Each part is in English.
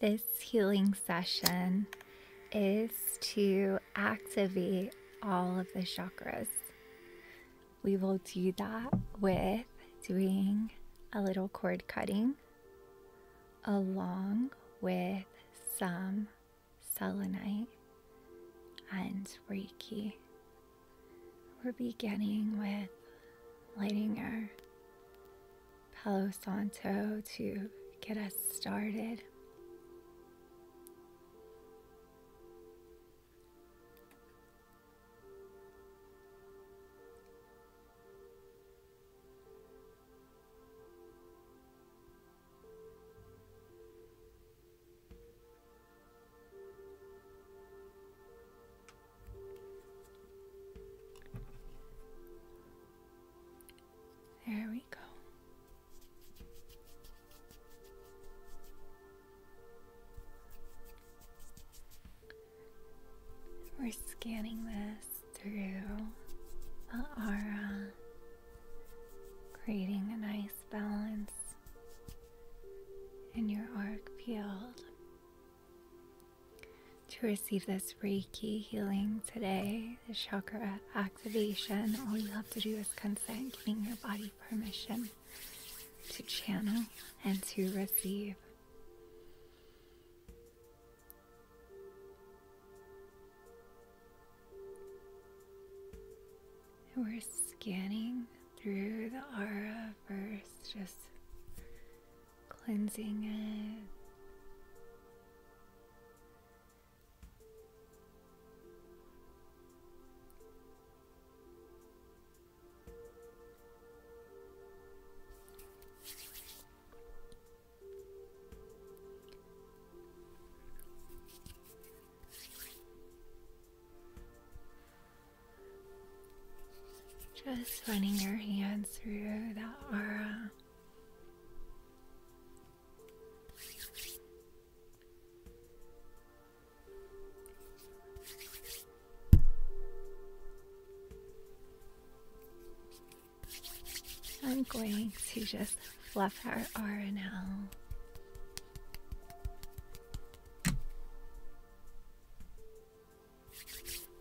This healing session is to activate all of the chakras. We will do that with doing a little cord cutting along with some selenite and Reiki. We're beginning with lighting our Palo Santo to get us started. There we go. We're scanning this through the aura, creating a nice balance in your arc field. To receive this Reiki healing today, the chakra activation, all you have to do is consent, giving your body permission to channel and to receive. we're scanning through the aura first, just cleansing it. Just running your hands through that aura. I'm going to just fluff her R now.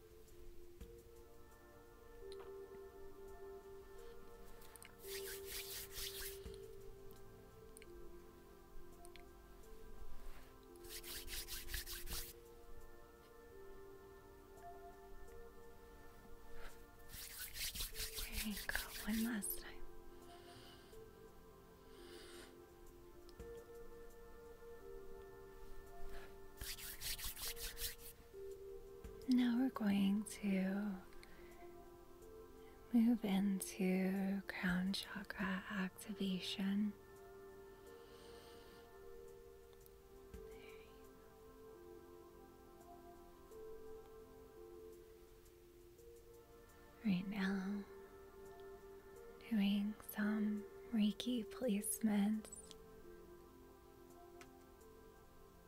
There you go, one last time. Now we're going to move into crown chakra activation. Right now, doing some Reiki placements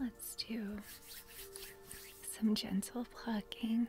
Let's do some gentle plucking.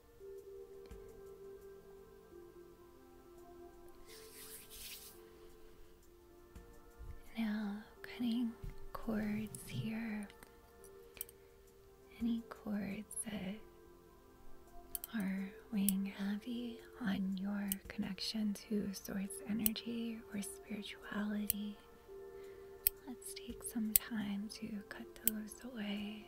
Now, cutting cords here. Any cords that are weighing heavy on your connection to source energy or spirituality. Let's take some time to cut those away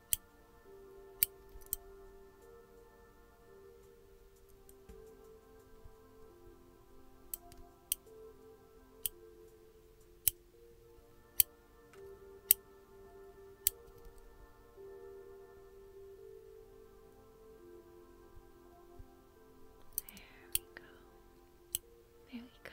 There we go. Very good.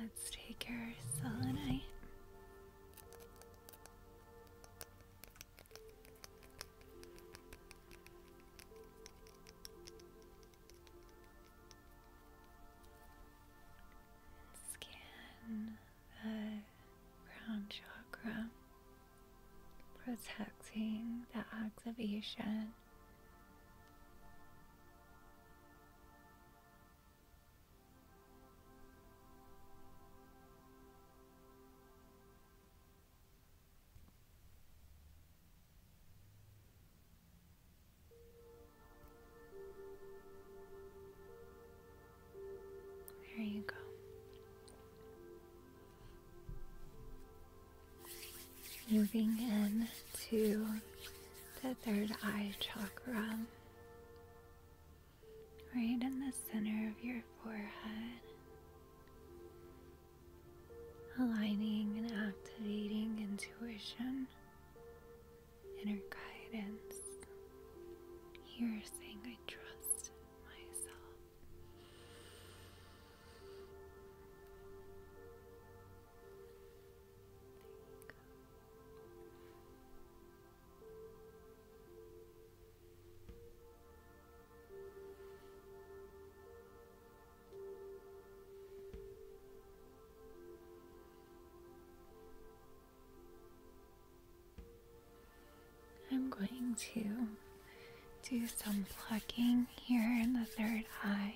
Let's take our selenite. Scan the crown chakra, protecting the activation. There you go. Moving in to the third eye chakra, right in the center of your forehead, aligning and activating intuition inner guidance. Here saying, I trust myself. I'm going to do some plugging here in the third eye.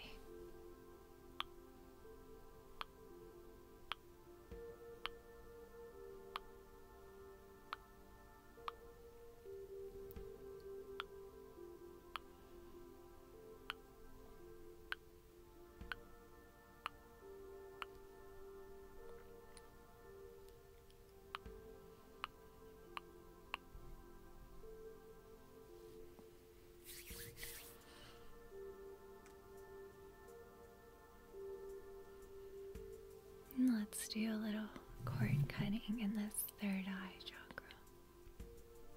Let's do a little cord cutting in this third eye chakra.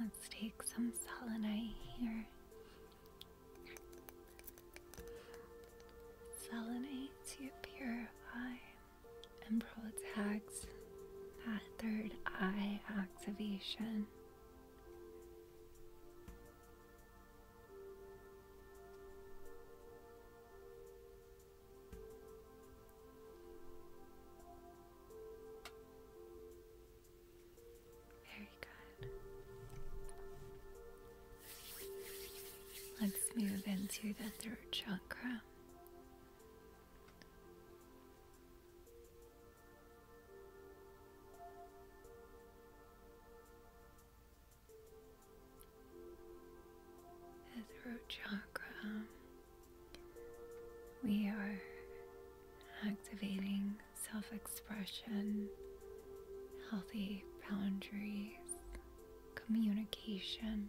Let's take some selenite here. Selenite to purify. Umbral attacks that third eye activation. Very good. Let's move into the third chakra. The chakra, we are activating self expression, healthy boundaries, communication.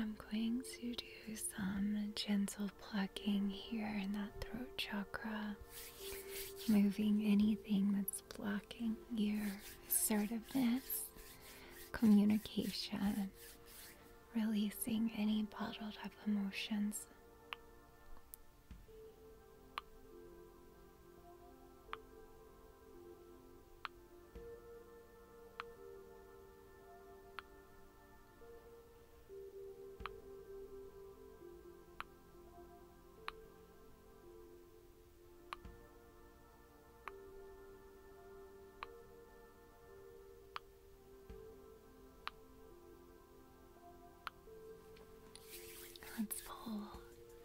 I'm going to do some gentle plucking here in that throat chakra, moving anything that's blocking your assertiveness, communication, releasing any bottled up emotions. Let's pull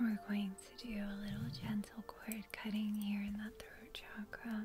We're going to do a little gentle cord cutting here in that throat chakra.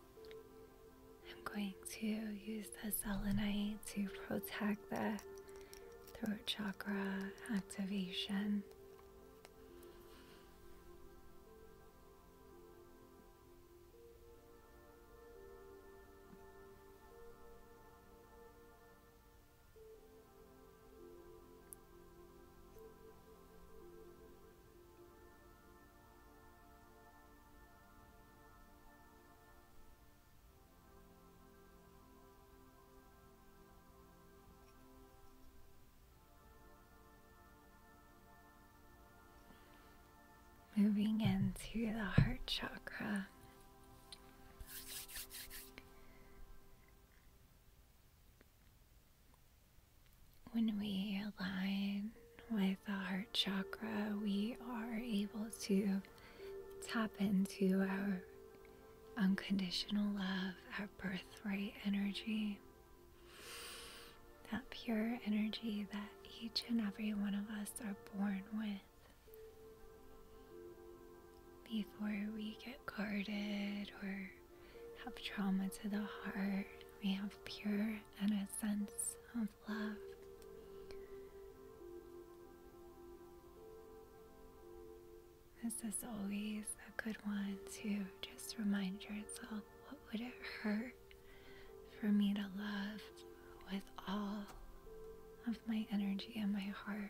I'm going to use the selenite to protect the throat chakra activation. Moving into the heart chakra. When we align with our heart chakra, we are able to tap into our unconditional love, our birthright energy, that pure energy that each and every one of us are born with. Before we get guarded or have trauma to the heart, we have pure energy sense of love. This is always a good one to just remind yourself what would it hurt for me to love with all of my energy and my heart.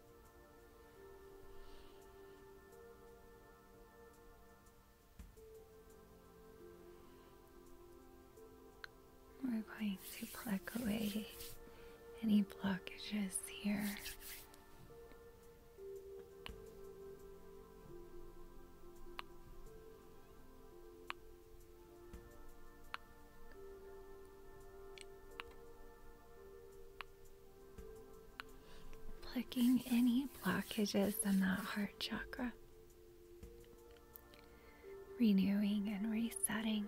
We're going to pluck away any blockages here. Picking any blockages in that heart chakra, renewing and resetting.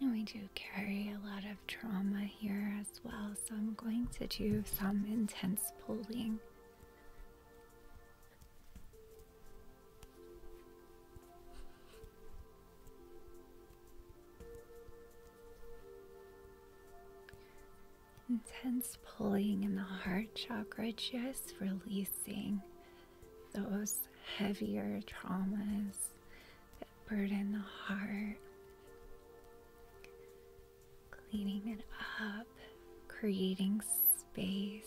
And we do carry a lot of trauma here as well, so I'm going to do some intense pulling. Intense pulling in the heart chakra, just releasing those heavier traumas that burden the heart. Cleaning it up, creating space.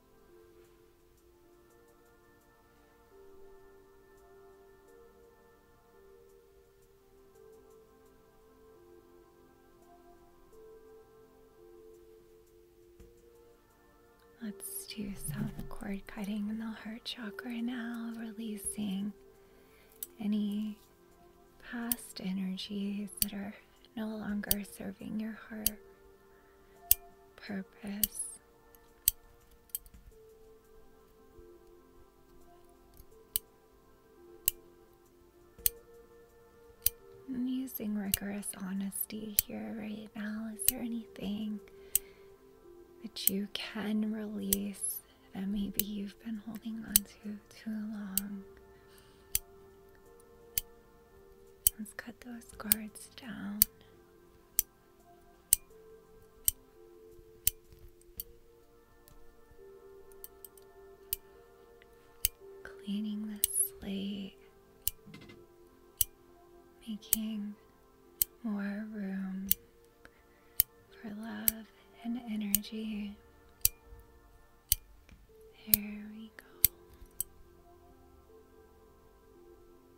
Let's do some cord cutting in the heart chakra now, releasing any past energies that are no longer serving your heart purpose. I'm using rigorous honesty here right now. Is there anything that you can release that maybe you've been holding on to too long? Let's cut those guards down. Cleaning the slate, making more room for love and energy. There we go.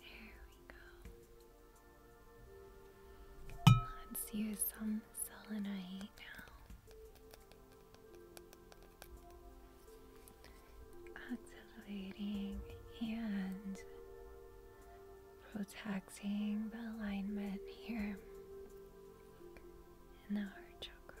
There we go. Let's use some selenite now. Activating and protecting the alignment here in the heart chakra.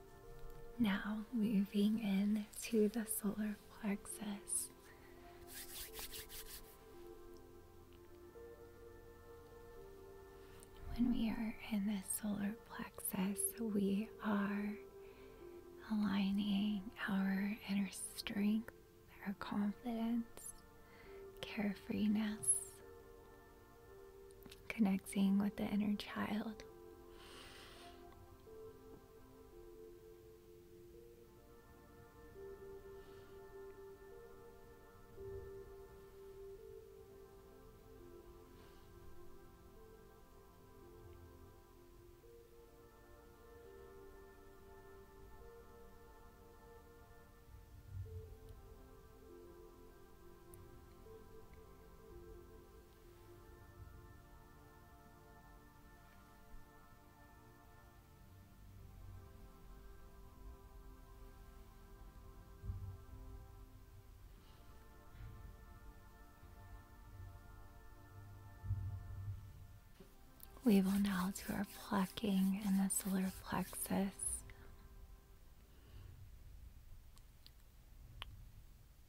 Now moving in to the solar plexus. When we are in the solar plexus, we are aligning our inner strength, our confidence, carefreeness, connecting with the inner child. We will now do our plucking in the solar plexus.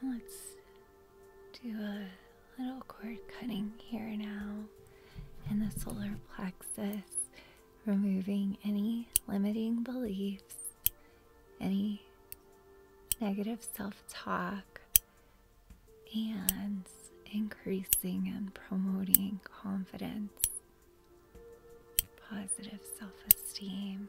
And let's do a little cord cutting here now in the solar plexus, removing any limiting beliefs any negative self talk and increasing and promoting confidence, positive self esteem.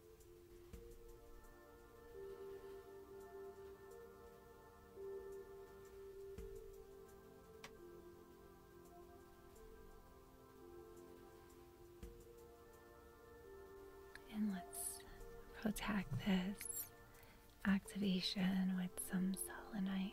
and let's protect this activation with some selenite.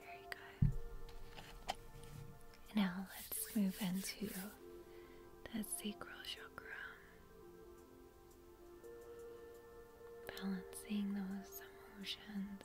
There you Now let's move into the sacral chakra. Balancing those emotions.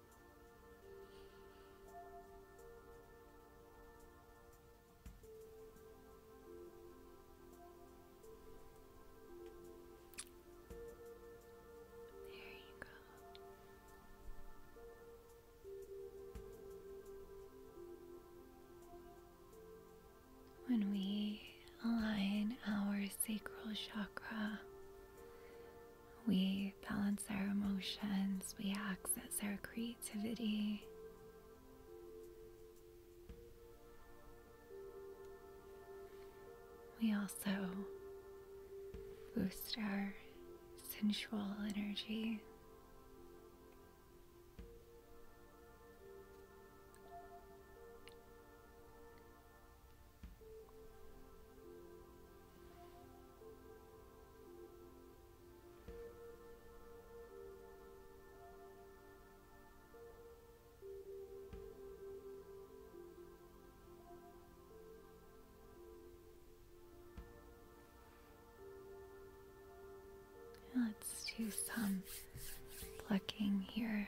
There you go. When we align our sacral chakra we balance our emotions, we access our creativity. We also boost our sensual energy. Let's do some plucking here.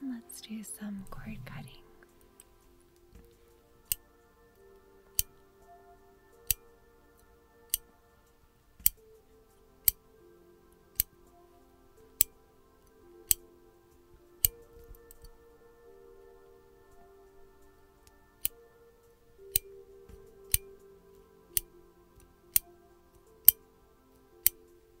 And let's do some cord cutting.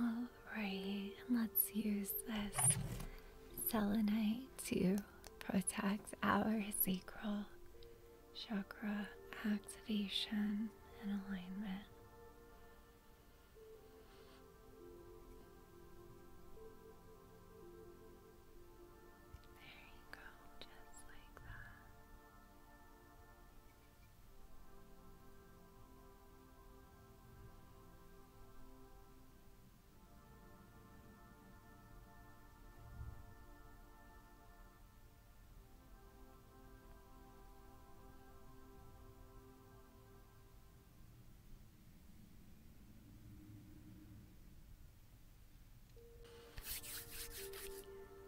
All right, let's use this selenite to protect our sacral chakra activation and alignment. There you go, just like that.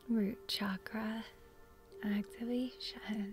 Root chakra activation.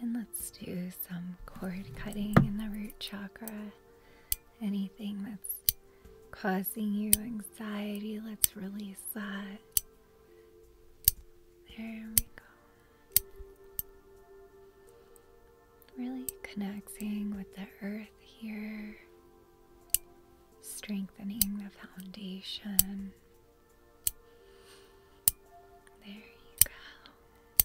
And let's do some cord cutting in the root chakra. Anything that's causing you anxiety. Let's release that. There we go. Really connecting with the earth here, strengthening the foundation. There you go.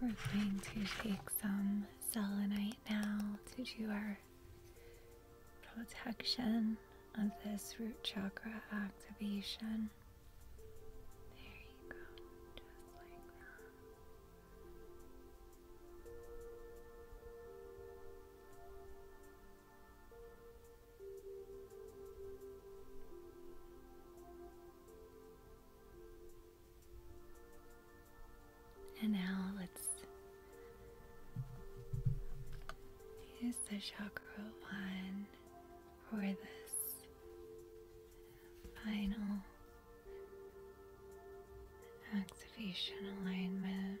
We're going to take some selenite now to do our protection of this root chakra activation. There you go, and now let's use the chakra one for this final activation alignment.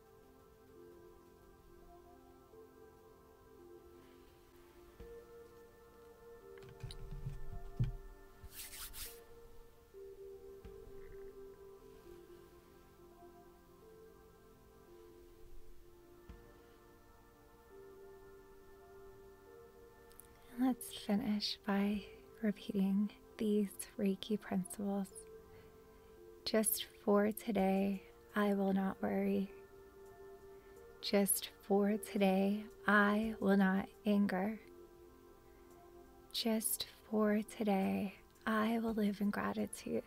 Let's finish by repeating these Reiki principles just for today I will not worry. Just for today, I will not anger. Just for today, I will live in gratitude.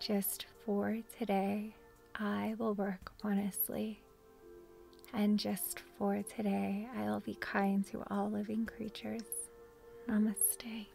Just for today, I will work honestly. And just for today, I will be kind to all living creatures. Namaste.